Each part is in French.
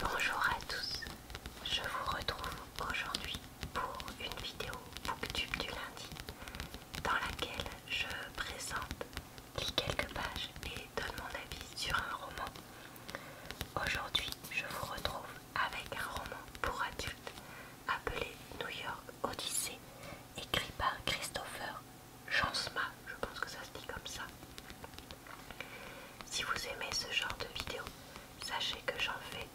Bonjour à tous, je vous retrouve aujourd'hui pour une vidéo Booktube du lundi dans laquelle je présente, lis quelques pages et donne mon avis sur un roman. Aujourd'hui, je vous retrouve avec un roman pour adultes appelé New York Odyssée, écrit par Christopher Jansma, je pense que ça se dit comme ça. Si vous aimez ce genre de vidéos, sachez que j'en fais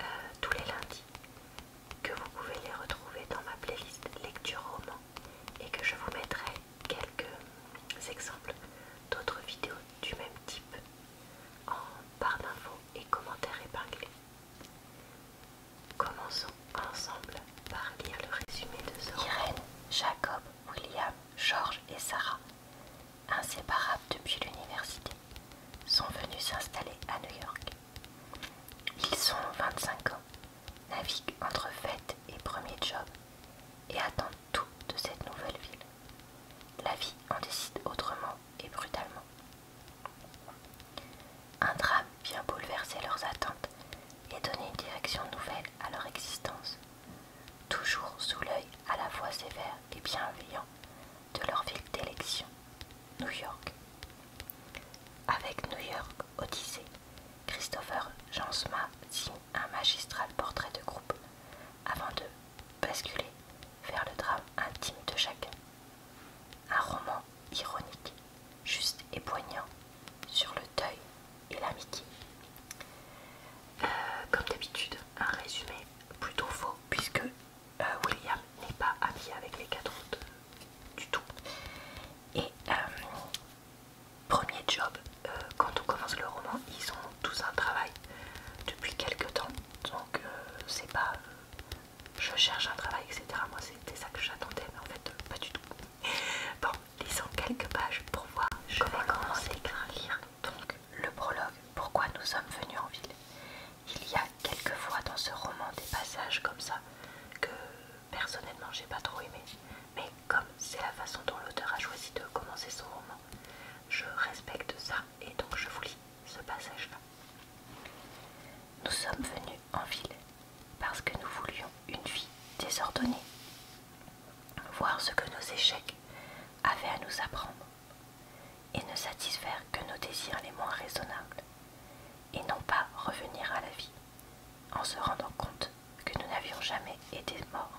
euh, tous les lundis, que vous pouvez les retrouver dans ma playlist lecture roman et que je vous mettrai quelques exemples d'autres vidéos du même type en barre d'infos et commentaires épinglés. Commençons ensemble par lire le résumé de ce Jacob, William, George et Sarah inséparables depuis l'université, sont venus s'installer à New York. Ils sont 25 ans, naviguent entre fête et premier job, et attendent tout de cette nouvelle ville. La vie en décide autrement et brutalement. Un drame vient bouleverser leurs attentes et donner une direction nouvelle à leur existence toujours sous l'œil à la fois sévère et bienveillant de leur ville d'élection, New York. Avec New York Odyssée, Christopher Jansma signe un magistral portrait de groupe avant de basculer vers le drame intime de chacun. Un roman ironique, juste et poignant sur le deuil et l'amitié. Euh, comme d'habitude, un résumé plutôt faux puisque euh, William n'est pas ami avec les quatre autres du tout. Et euh, premier job, euh, quand on commence le roman, ils ont tous un travail depuis quelques temps. Donc c'est pas je cherche un travail, etc. Moi c'était ça que j'attendais, mais en fait pas du tout. Bon, lisons quelques pages pour voir. comment vais commencer à le prologue Pourquoi nous sommes venus en ville. Il y a quelquefois dans ce roman des passages comme ça que personnellement j'ai pas trop aimé, mais comme c'est la façon dont l'auteur a choisi de commencer son roman, je respecte ça et donc je vous lis ce passage-là. Nous sommes venus en ville parce que nous voulions une vie désordonnée, voir ce que nos échecs, avait à nous apprendre, et ne satisfaire que nos désirs les moins raisonnables, et non pas revenir à la vie, en se rendant compte que nous n'avions jamais été morts.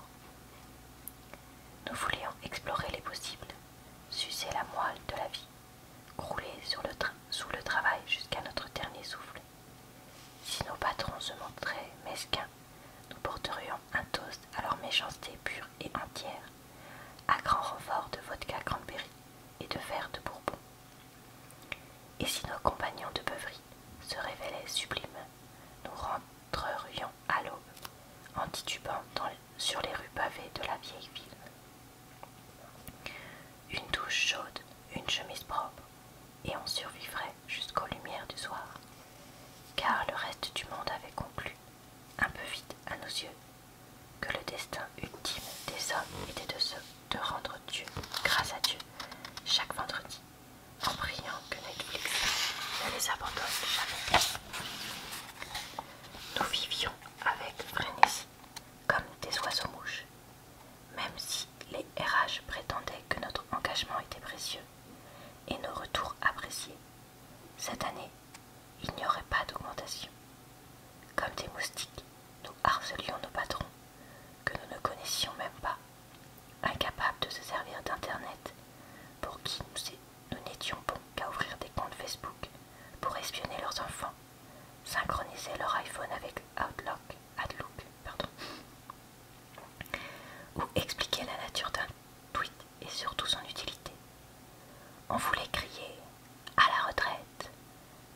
Nous voulions explorer les possibles, sucer la moelle de la vie, crouler sous le travail jusqu'à notre dernier souffle. Si nos patrons se montraient mesquins nous porterions un toast à leur méchanceté pure et entière, à grand renfort de vodka cranberry et de verre de bourbon. Et si nos compagnons de beuverie se révélaient sublimes, nous rentrerions à l'aube, en titubant sur les rues pavées de la vieille ville. Une douche chaude, une chemise propre, et on survivrait jusqu'aux lumières du soir car le reste du monde avait conclu, un peu vite à nos yeux, que le destin ultime des hommes était de, se, rendre Dieu, grâce à Dieu, chaque vendredi, en priant que Netflix ne les abandonne jamais. Nous vivions avec frénésie, comme des oiseaux mouches, même si les RH prétendaient que notre engagement était précieux et nos retours appréciés. Cette année, il n'y aurait pas d'augmentation. Comme des moustiques, nous harcelions nos patrons, que nous ne connaissions même pas, incapables de se servir d'Internet, pour qui nous n'étions bons qu'à ouvrir des comptes Facebook pour espionner leurs enfants, synchroniser leur iPhone avec Outlook, pardon, ou expliquer la nature d'un tweet et surtout son utilité. On voulait crier à la retraite,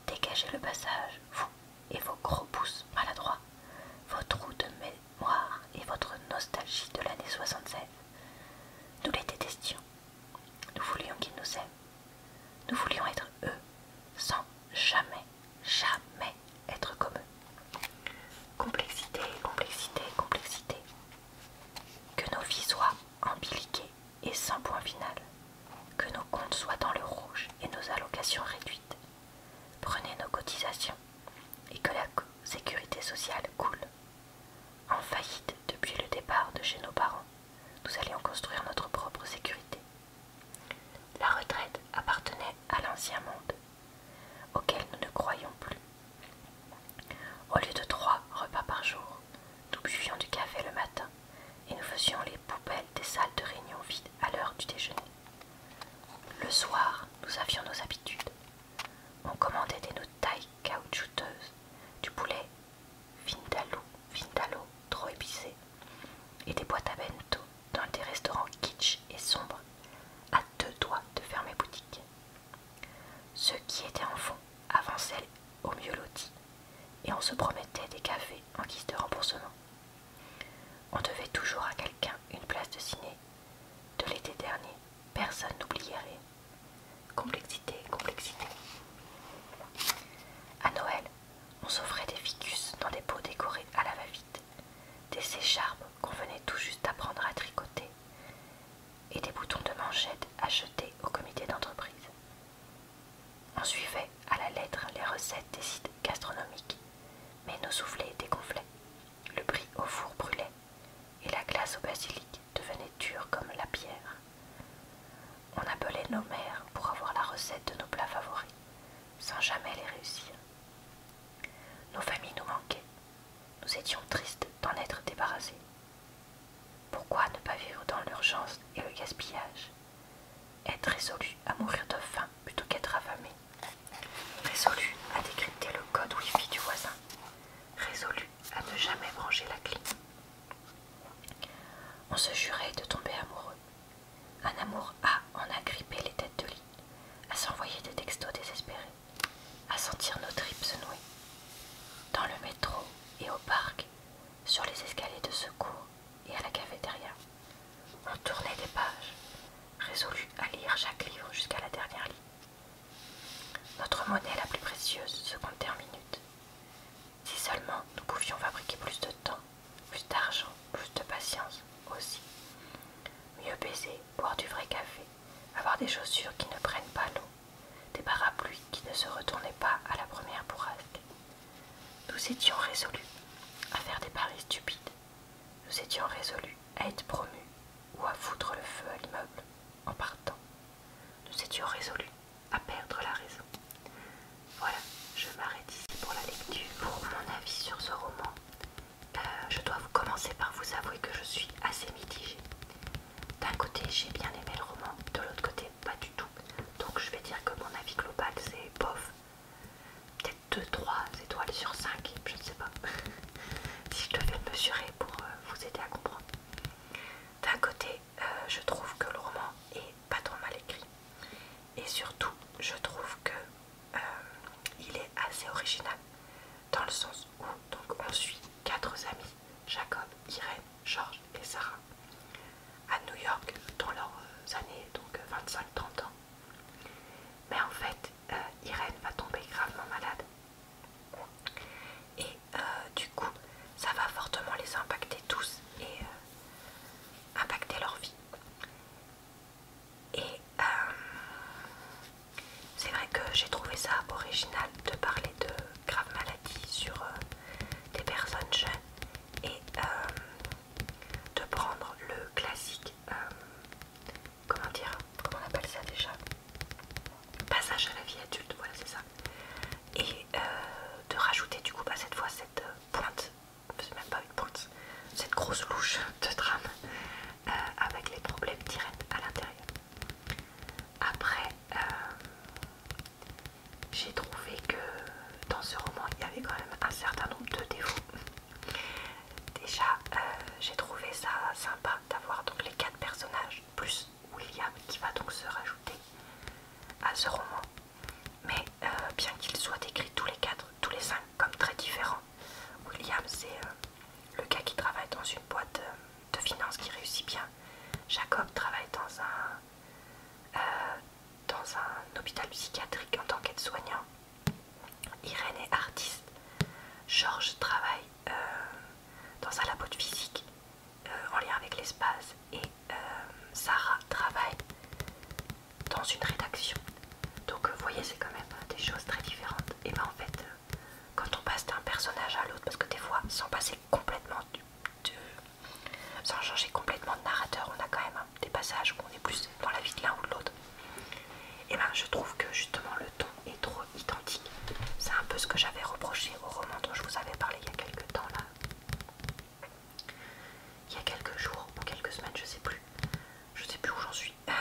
dégagez le passage, vous et vos gros pouces maladroits, vos trous de mémoire et votre nostalgie de l'année 76. Nous les détestions. Nous voulions qu'ils nous aiment. Nous voulions être eux, sans jamais, jamais être comme Complexité, complexité, complexité. Que nos vies soient embiliquées et sans point final. Que nos comptes soient dans le rouge et nos allocations réduites. Prenez nos cotisations et que la sécurité sociale coule. En faillite depuis le départ de chez nos parents, nous allions construire notre propre sécurité. La retraite appartenait à l'ancien monde auquel nous ne croyons plus. Au lieu de trois repas par jour, nous buvions du café le matin et nous faisions les poubelles des salles de réunion vides à l'heure du déjeuner. Le soir, nous avions nos habitudes. On commandait des nouilles caoutchouteuses, du poulet vindaloo, vindalo trop épicé, et des boîtes à bento dans des restaurants kitsch et sombres, à deux doigts de fermer boutique. Ceux qui étaient fond, avançaient au mieux lotis et on se promettait des cafés en guise de remboursement. On devait toujours à quelqu'un une place de ciné. De l'été dernier, personne n'oublierait. Complexité, complexité. À Noël, on s'offrait des ficus dans des pots décorés à la va-vite, des écharpes qu'on venait tout juste apprendre à tricoter et des boutons de manchette achetés au comité d'entreprise. On suivait à la lettre les recettes des sites gastronomiques, mais nos soufflets dégonflaient, le prix au four brûlait, et la glace au basilic devenait dure comme la pierre. On appelait nos mères pour avoir la recette de nos plats favoris, sans jamais les réussir. Nos familles nous manquaient, nous étions tristes d'en être débarrassés. Pourquoi ne pas vivre dans l'urgence et le gaspillage Être résolu à mourir de faim plutôt qu'être affamé. Résolu à décrypter le code wifi du voisin. Résolu à ne jamais brancher la clé. On se jurait de tomber amoureux. Un amour à en agripper les têtes de lit, à s'envoyer des textos désespérés, à sentir nos tripes se nouer. Dans le métro et au parc, sur les escaliers de secours et à la cafétéria, on tournait des pages, résolu à lire chaque livre jusqu'à la dernière ligne. Notre monnaie la plus précieuse se comptait en minutes. Si seulement nous pouvions fabriquer plus de temps, plus d'argent, plus de patience aussi. Mieux baiser, boire du vrai café, avoir des chaussures qui ne prennent pas l'eau, des parapluies qui ne se retournaient pas à la première bourrasque. Nous étions résolus à faire des paris stupides. Nous étions résolus à être promus ou à foutre le feu à l'immeuble en partant. Nous étions résolus à perdre la raison. Voilà, je m'arrête ici pour la lecture, pour mon avis sur ce roman. Euh, je dois commencer par vous avouer que je suis assez mitigée. D'un côté, j'ai bien aimé le roman, de l'autre côté, pas du tout. Donc je vais dire que mon avis global, c'est bof. Peut-être 2-3 étoiles sur 5, je ne sais pas. si je devais le mesurer pour euh, vous aider à comprendre. D'un côté, euh, je trouve que le roman est pas trop mal écrit. Et surtout, je trouve que il est assez original dans le sens où donc on suit quatre amis, Jacob, Irène, Georges et Sarah, à New York dans leurs euh, années donc 25-30 euh, ans. Mais en fait, euh, Irène va tomber gravement malade. Et du coup, ça va fortement les impacter tous et impacter leur vie. Et euh, c'est vrai que j'ai trouvé ça original de parler de graves maladies sur euh, des personnes jeunes et euh, de prendre le classique, comment dire, comment on appelle ça déjà Passage à la vie adulte, voilà c'est ça. Et de rajouter du coup à bah, cette fois cette pointe, c'est même pas une pointe, cette grosse louche de drame euh, avec les problèmes directs à l'intérieur. Après, euh, j'ai trouvé que dans ce roman, il y avait quand même un certain nombre de défauts. Déjà, euh, j'ai trouvé ça sympa d'avoir donc les quatre personnages, plus William qui va donc se rajouter à ce roman. Mais bien qu'ils soient décrits tous les quatre, tous les cinq comme très différents, William, c'est euh, le gars qui travaille dans une boîte euh, de finance qui réussit bien. Jacob travaille euh, dans un, hôpital psychiatrique en tant qu'aide-soignant. Irène est artiste. George travaille dans un labo de physique en lien avec l'espace. Et Sarah travaille dans une rédaction. Donc, vous voyez, c'est quand même des choses très différentes. Et ben en fait, quand on passe d'un personnage à l'autre, parce que des fois, sans passer complètement de, sans changer complètement de narrateur, on a quand même des passages où on est plus dans la vie de l'un ou de l'autre. Et eh ben, je trouve que justement le ton est trop identique. C'est un peu ce que j'avais reproché au roman dont je vous avais parlé il y a quelques temps là. Il y a quelques jours ou quelques semaines, je sais plus. Je sais plus où j'en suis. Euh,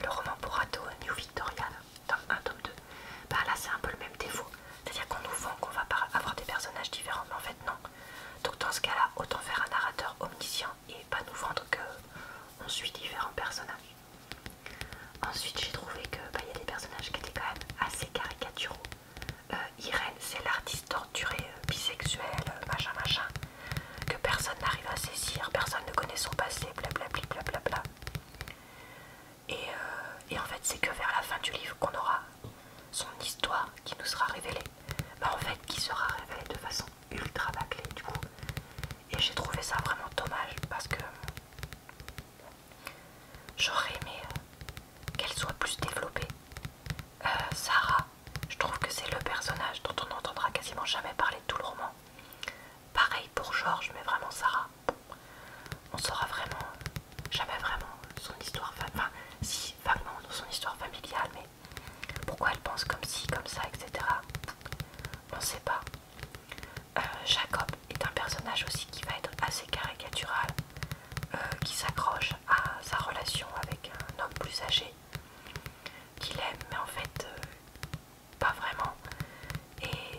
de le roman pour New Victoria, dans un tome 2, bah là c'est un peu le même défaut. C'est-à-dire qu'on nous vend qu'on va avoir des personnages différents, mais en fait non. Donc dans ce cas-là, autant faire un narrateur omniscient et pas nous vendre qu'on suit différents personnages. Ensuite j'ai trouvé que bah, y a des personnages qui étaient quand même assez caricaturaux. Euh, Irène c'est l'artiste torturée, euh, bisexuelle, machin machin que personne n'arrive à saisir, personne ne connaît son passé, blablabla. Euh, et, en fait, c'est que vers la fin du livre qu'on aura son histoire qui nous sera révélée. Bah, en fait, qui sera révélée de façon ultra bâclée, du coup. Et j'ai trouvé ça vraiment dommage parce que j'aurais aimé euh, qu'elle soit plus développée. Euh, Sarah, je trouve que c'est le personnage dont on n'entendra quasiment jamais parler de tout le roman. Pareil pour George, mais vraiment Sarah. On saura vraiment jamais vraiment son histoire, enfin si vaguement son histoire familiale, mais pourquoi elle pense comme ci, comme ça, etc. On ne sait pas. Euh, Jacob est un personnage aussi qui va être assez caricatural, euh, qui s'accroche à sa relation avec un homme plus âgé qu'il aime, mais en fait euh, pas vraiment. Et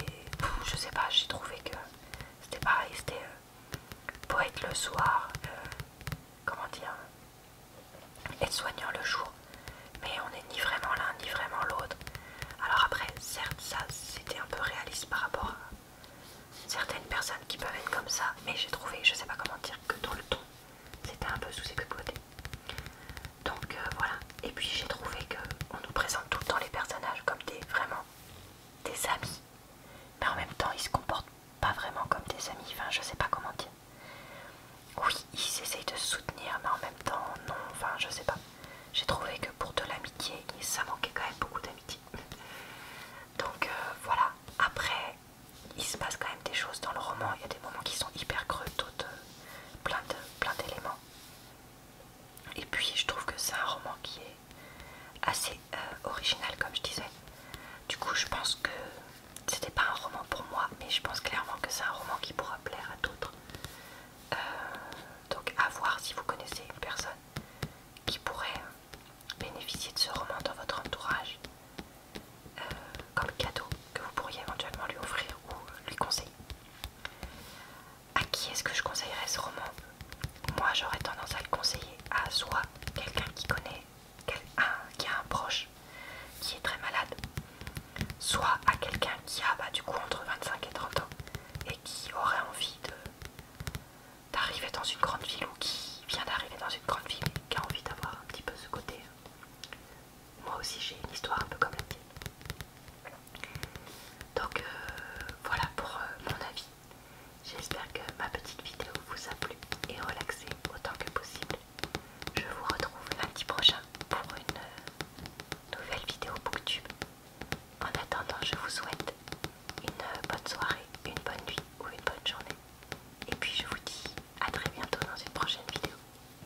je sais pas, j'ai trouvé que c'était pareil, c'était euh, poète le soir, euh, comment dire, être soignant le jour. Mais on n'est ni vraiment l'un ni vraiment l'autre. Alors après, certes, ça c'était un peu réaliste par rapport à certaines personnes qui peuvent être comme ça, mais j'ai trouvé, je sais pas comment dire, que dans le ton, c'était un peu sous-exploité. Donc euh, voilà. Et puis j'ai trouvé qu'on nous présente tout le temps les personnages comme des vraiment des amis. Mais en même temps, ils se comportent pas vraiment comme des amis. Enfin, je sais pas comment dire. Oui, ils essayent de se soutenir, mais en même temps, non. Enfin, je sais pas. J'ai trouvé que pour de l'amitié, ça manquait quand même beaucoup d'amitié. Donc euh, voilà. Après, il se passe quand même des choses dans le roman. Il y a des moments qui sont hyper creux, d'autres euh, plein d'éléments. Et puis je trouve que c'est un roman qui est assez euh, original comme je disais. Du coup je pense que c'était pas un roman pour moi mais je pense clairement que c'est un roman qui pourra plaire à d'autres. Euh, donc à voir si vous connaissez une personne qui pourrait bénéficier de ce roman dans votre entourage. Euh, comme cadeau que vous pourriez éventuellement lui offrir ou euh, lui conseiller. À qui est-ce que je conseillerais ce roman Moi j'aurais tendance à le conseiller à soit quelqu'un qui connaît, qui a un proche qui est très malade, soit à quelqu'un qui a bah, du coup entre 25 et 30 ans et qui aurait envie d'arriver dans une grande ville ou qui vient d'arriver dans une grande ville et qui a envie d'avoir un petit peu ce côté moi aussi j'ai une histoire un peu comme la tienne. Donc euh, voilà pour euh, mon avis. J'espère que ma petite vidéo vous a plu et relaxé autant que possible. Je vous retrouve lundi prochain pour une euh, nouvelle vidéo Booktube. En attendant, je vous souhaite une bonne soirée, une bonne nuit ou une bonne journée. Et puis je vous dis à très bientôt dans une prochaine vidéo.